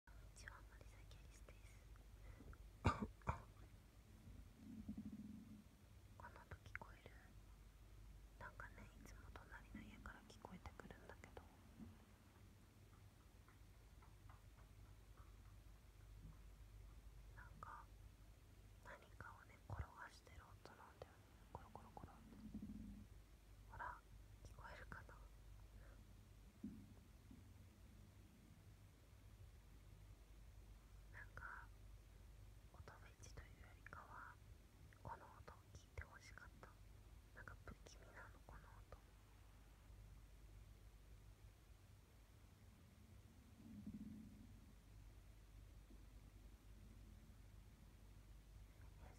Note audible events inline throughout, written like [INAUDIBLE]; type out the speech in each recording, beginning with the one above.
ちは、森崎アリスですこの音聞こえるなんかね、いつも隣の家から聞こえてくるんだけどなんか何かをね、転がしてる音なんだよねコロコロコロってほら、聞こえるかななんか音フェチというよりかはこの音を聞いてほしかったなんか不気味なのこの音え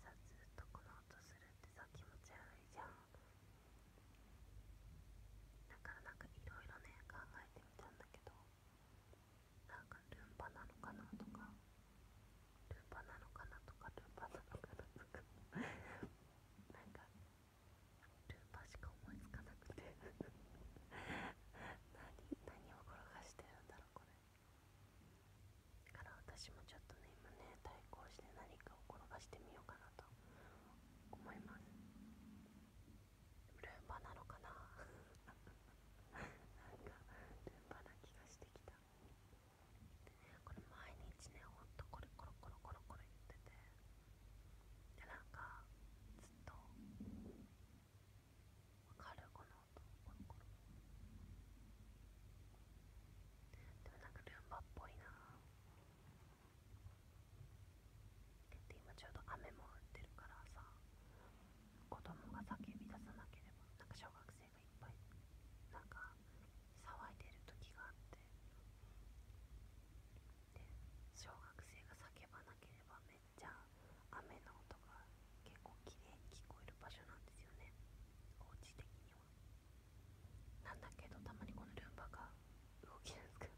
さずっとこの音するってさ気持ち悪いじゃんだからなんかいろいろね考えてみたんだけどなんかルンバなのかなとかルンパなのかなとかルンパなのかなとかなんかルンバしか思いつかなくて何何を転がしてるんだろうこれだから私もちょっとね今ね対抗して何かを転がしてみようかなと思いますルンバなのかな [LAUGHS] なんかルンバな気がしてきたこれ毎日ねほんとコロコロコロコロコロ言っててでなんかずっとわかるこの音コロコロでもなんかルンバっぽいなぁで今ちょうど雨も降ってるからさ子供が叫び出さなければなんか小学生がいっぱいなんか騒いでる時があってで小学生が叫ばなければめっちゃ雨の音が結構きれいに聞こえる場所なんですよねお家的には。なんだけどたまにこのルンバが動きですから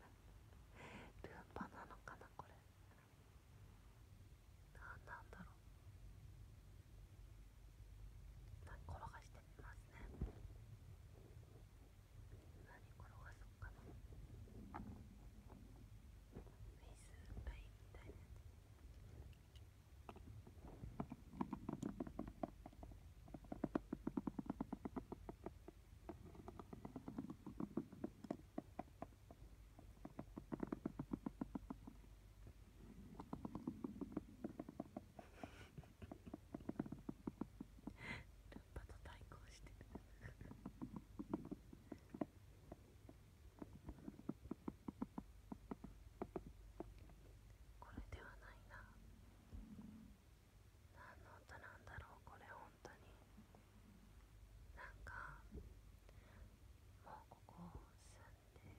ルンバなのかなこれなんなんだろう何転がしてみますね何転がそうかなフェイスラインみたいなやつルンバと対抗してこれではないな何の音なんだろうこれ本当になんかもうここ住んで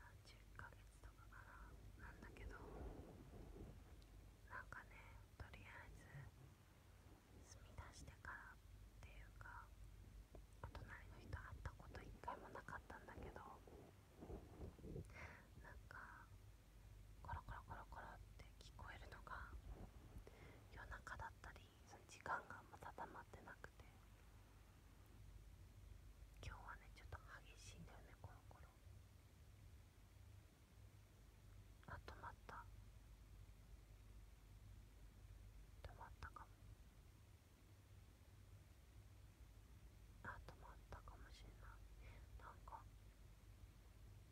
何十ヶ月とかかななんだけどなんかねとりあえず住みだしてからっていうかお隣の人会ったこと一回もなかったんだけどなんかコロコロコロコロって聞こえるのが夜中だったりその時間がまた定まってなくて今日はねちょっと激しいんだよねコロコロあ止まった止まったかもあ止まったかもしれないなんか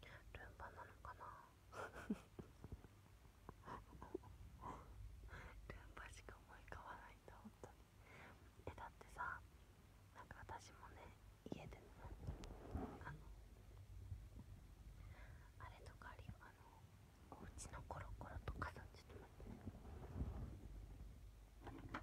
ルンバなのかな [LAUGHS] ルンバしか思い浮かばないんだ本当にえだってさなんか私もね家でねあのあれとかあるよあのおうちのコロコロとかさちょっと待ってね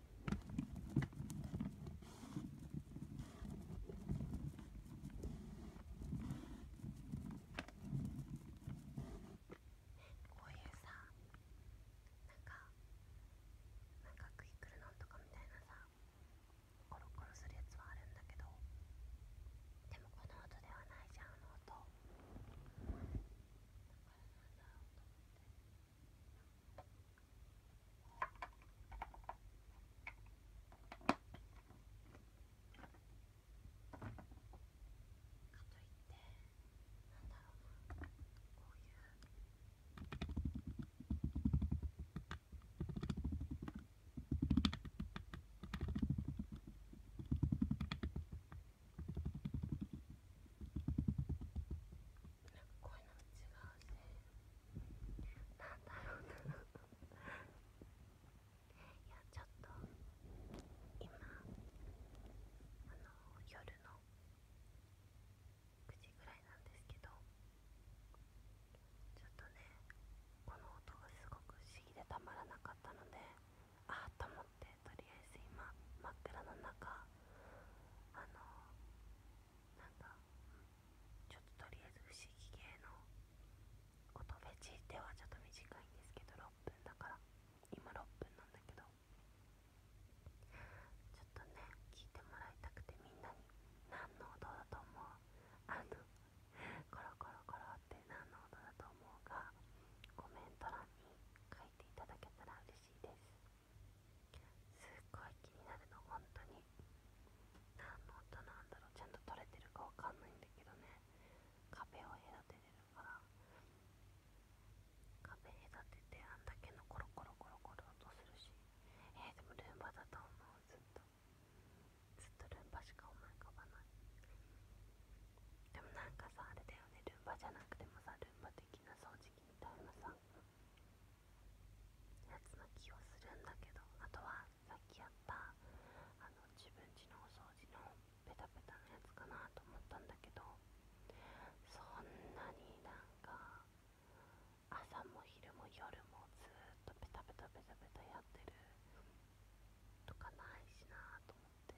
こういうさなんかなんかクイックルノンとかみたいなさコロコロするやつはあるんだけどでもこの音ではないじゃんあの音だからなんだろうと思って。こういうこういうのも違うね、なんだろうないやちょっと今あの夜の9時ぐらいなんですけどちょっとねこの音がすごく不思議でたまらなかったのでああと思ってとりあえず今真っ暗の中あのなんだちょっととりあえず不思議系の音ベェチではちょっと短いんですけど6分だから今6分なんだけどちょっとね聞いてもらいたくてみんなに何の音だと思うあのコロコロコロって何の音だと思うかコメント欄に書いていただけたら嬉しいですすっごい気になるの本当に何の音なんだろうちゃんと取れてるかわかんないんだけどね壁を隔ててるから壁隔ててあんだけのコロコロコロコロ音するしえでもルンバだと思うずっとずっとルンバしか思い浮かばないでもなんかさあれだよねルンバじゃなくてもさルンバ的な掃除機みたいなさやつな気はするんだけどあとはさっきやったあの自分ちのお掃除のペタペタのやつかなと思ったんだけどそんなになんか朝も昼も夜もずっとペタペタペタペタやってるとかないしなと思って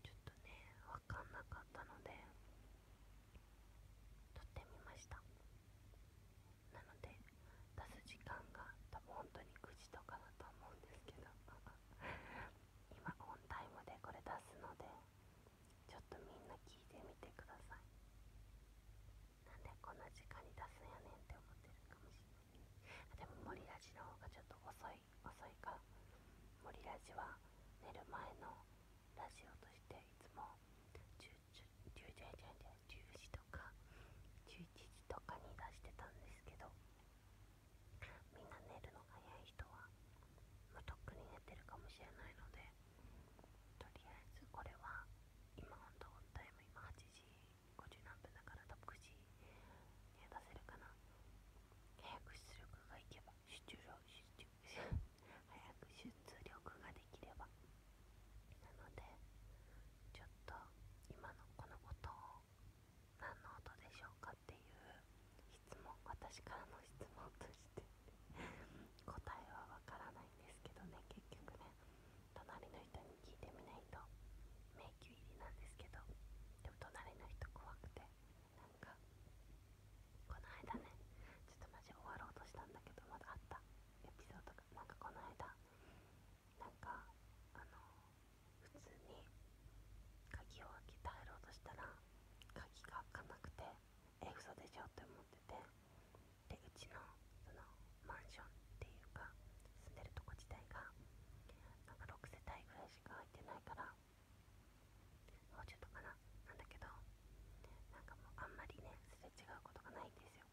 ちょっとねわかんなかったので撮ってみましたなので出す時間が多分本当に9時とかだと思うんですけど [LAUGHS] 今オンタイムでこれ出すのでちょっとみんな聞いてみてくださいなんでこんな時間に出すんやねんって思ってるかもしれないでもモリラジの方がちょっと遅い遅いかモリラジは寝る前のラジオとしていつも10時とか11時とかに出してたんですけどみんな寝るの早い人は、まとっくに寝てるかもしれないのでとりあえずこれは今ほんとオンタ今8時50何分だから多分9時には出せるかな契約出力がいけば出力早く出力ができればなのでちょっと今のこのことを何の音でしょうかっていう質問私からの質問として答えはわからないんですけどね結局ね隣の人に聞いてみないと迷宮入りなんですけどでも隣の人怖くてこの間ねちょっとマジ終わろうとしたんだけどまだあったエピソードがなんかこの間なんかあの普通に鍵を開けて入ろうとしたら鍵が開かなくてえ嘘でしょって思っててでうちのそのマンションっていうか住んでるとこ自体がなんか6世帯ぐらいしか入いてないからもうちょっとかななんだけどなんかもうあんまりねすれ違うことがないんですよ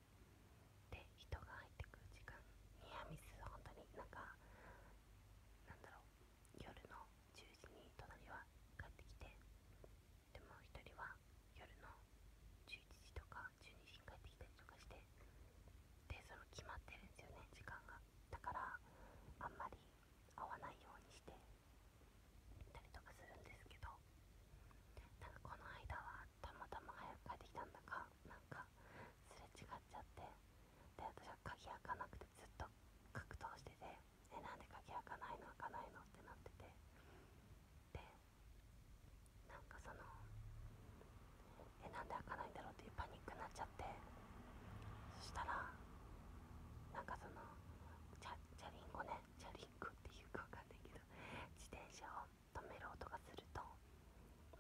で人が入ってくる時間ニアミス本当になんかなんだろう夜の10時に隣は帰ってきてでも1人は夜の11時とか12時に帰ってきたりとかしてでその決まってるんですよね時間がだからあんまり会わないようにしてたりとかするんですけどなんかこの間はたまたま早く帰ってきたんだかなんかすれ違っちゃってで私は鍵開かなくてずっと格闘してて「えなんで鍵開かないの開かないの?」ってなっててでなんかその「えなんで開かないんだろう?」っていうパニックになっちゃってそしたらなんかそのチャリンコねチャリンコっていうかわかんないけど自転車を止める音がすると、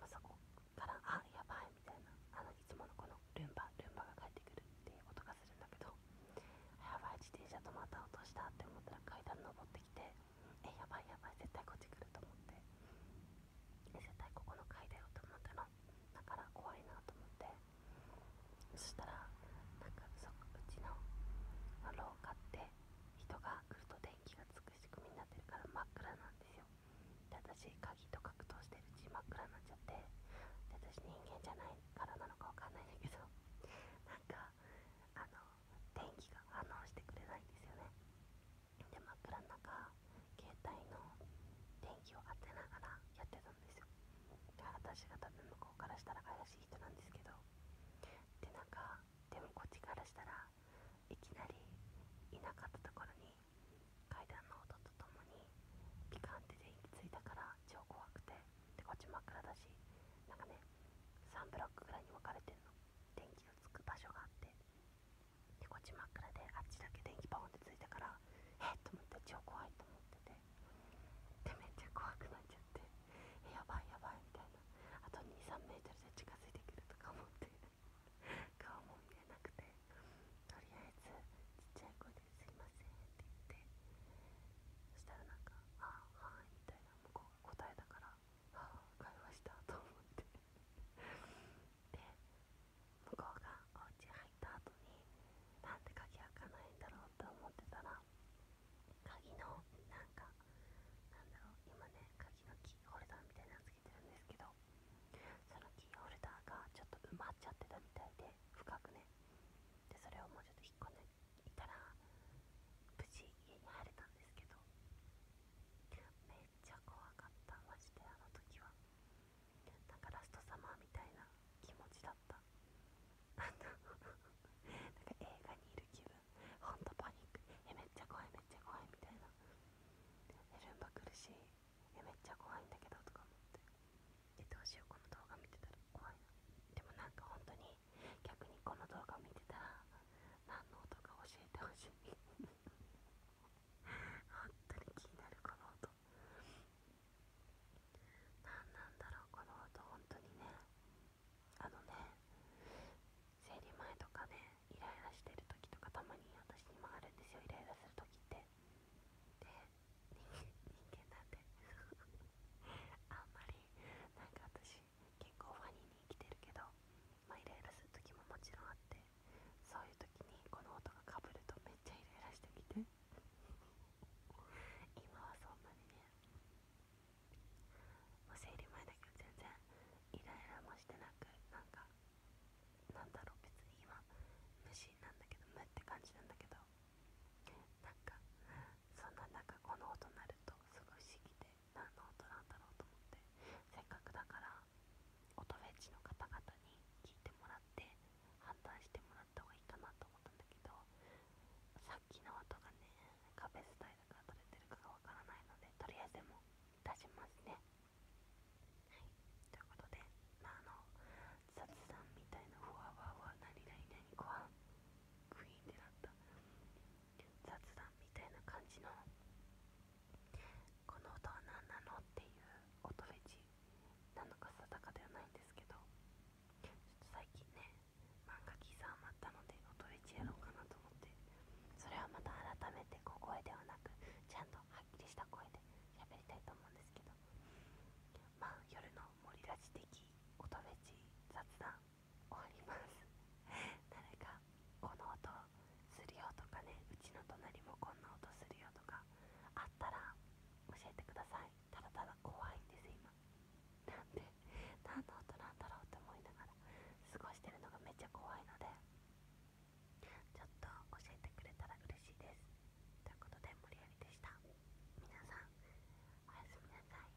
まあ、そこからあやばいみたいなあのいつものこのルンバルンバが帰ってくるっていう音がするんだけどやばい自転車止まった音したって思ったら階段登ってきてえやばいやばい絶対こっち来ると思って絶対ここの階段を止まったのだから怖いなと思って。そしたらなんかそうちの廊下って人が来ると電気がつく仕組みになってるから真っ暗なんですよで私鍵と格闘してるうち真っ暗になっちゃって私人間じゃないからなのかわかんないんだけど [LAUGHS] なんかあの電気が反応してくれないんですよねで真っ暗の中携帯の電気を当てながらやってた私が多分向こうからしたら怪しい人なんですけどでなんかでもこっちからしたらいきなりいなかったところに階段の音とともにピカンって電気ついたから超怖くてでこっち真っ暗だしなんかね3ブロックぐらいに分かれてるの電気のつく場所があってでこっち真っ暗であっちだけ電気バンってついたからえっと思って超怖いと思っててめっちゃ怖くなっちゃってやばいやばいみたいなあと23メートルで近づいてくるとか思って [LAUGHS] 顔も見えなくてとりあえずちっちゃい声ですいませんって言ってそしたらなんか「あはい」みたいな向こう答えだから「ああ会話した」と思ってで向こうが「入った後になんで鍵開かないんだろうと思ってたら鍵のなんかなんだろう今ね鍵のキーホルダーみたいなのつけてるんですけどそのキーホルダーがちょっと埋まっちゃってたみたいで深くねでそれをもうちょっと引っ込んでいたら無事家に入れたんですけどめっちゃ怖かったマジであの時はなかラストサマーみたいな気持ちだったなんか映画にいる気分ほんとパニックえめっちゃ怖いめっちゃ怖いみたいなえルンバ来るしえめっちゃ怖いんだけどとか思ってでどうしようこの動画見てたら怖いなでもなんか本当に逆にこの動画見てたら何の音か教えてほしい [LAUGHS] 本当に気になるこの音と何なんだろうこの音本当にねあのね生理前とかねイライラしてる時とかたまに私にもあるんですよイライラする時ってで人間なんて。あんまりなんか私結構ファニーに生きてるけどまイライラする時ももちろんあってそういう時にこの音がかぶるとめっちゃイライラしてきて今はそんなにねもう生理前だけど全然イライラもしてなくなんかなんだろう別に今無心なんだけど無って感じなんだけどなんかそんななんかこの音鳴るとすごい不思議で何の音なんだろうと思ってせっかくだから音フェチの方々に聞いてもらって判断してもらあった方がいいかなと思ったんだけどさっきの音がね壁伝いだから取れてるかがわからないのでとりあえずでも出しますねということであの雑談みたいなふわふわふわ何々何ご飯クイーンっなった雑談みたいな感じのこの音は何なのっていう音フェチなのか定かではないんですけどちょっと最近ね漫画喫茶余ったので音とりやろうかなと思ってそれはまた改めて小声ではなくちゃんとはっきりした声で喋りたいと思うんですけどまあ夜の森ラジ的音とべ雑談終わります [LAUGHS] 誰かこの音するよとかねうちの隣もこんな音するよとかあったら教えてくださいただただ怖いんです今なんで何の音なんだろうと思いながら過ごしてるのがめっちゃ怖いのでちょっと教えてくれたら嬉しいですということで無理やりでした皆さんおやすみなさい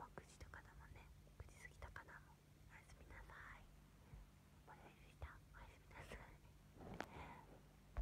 もう9とかだもんね口時過ぎたかなもうおやすみなさい無理やりでしたおやすみなさい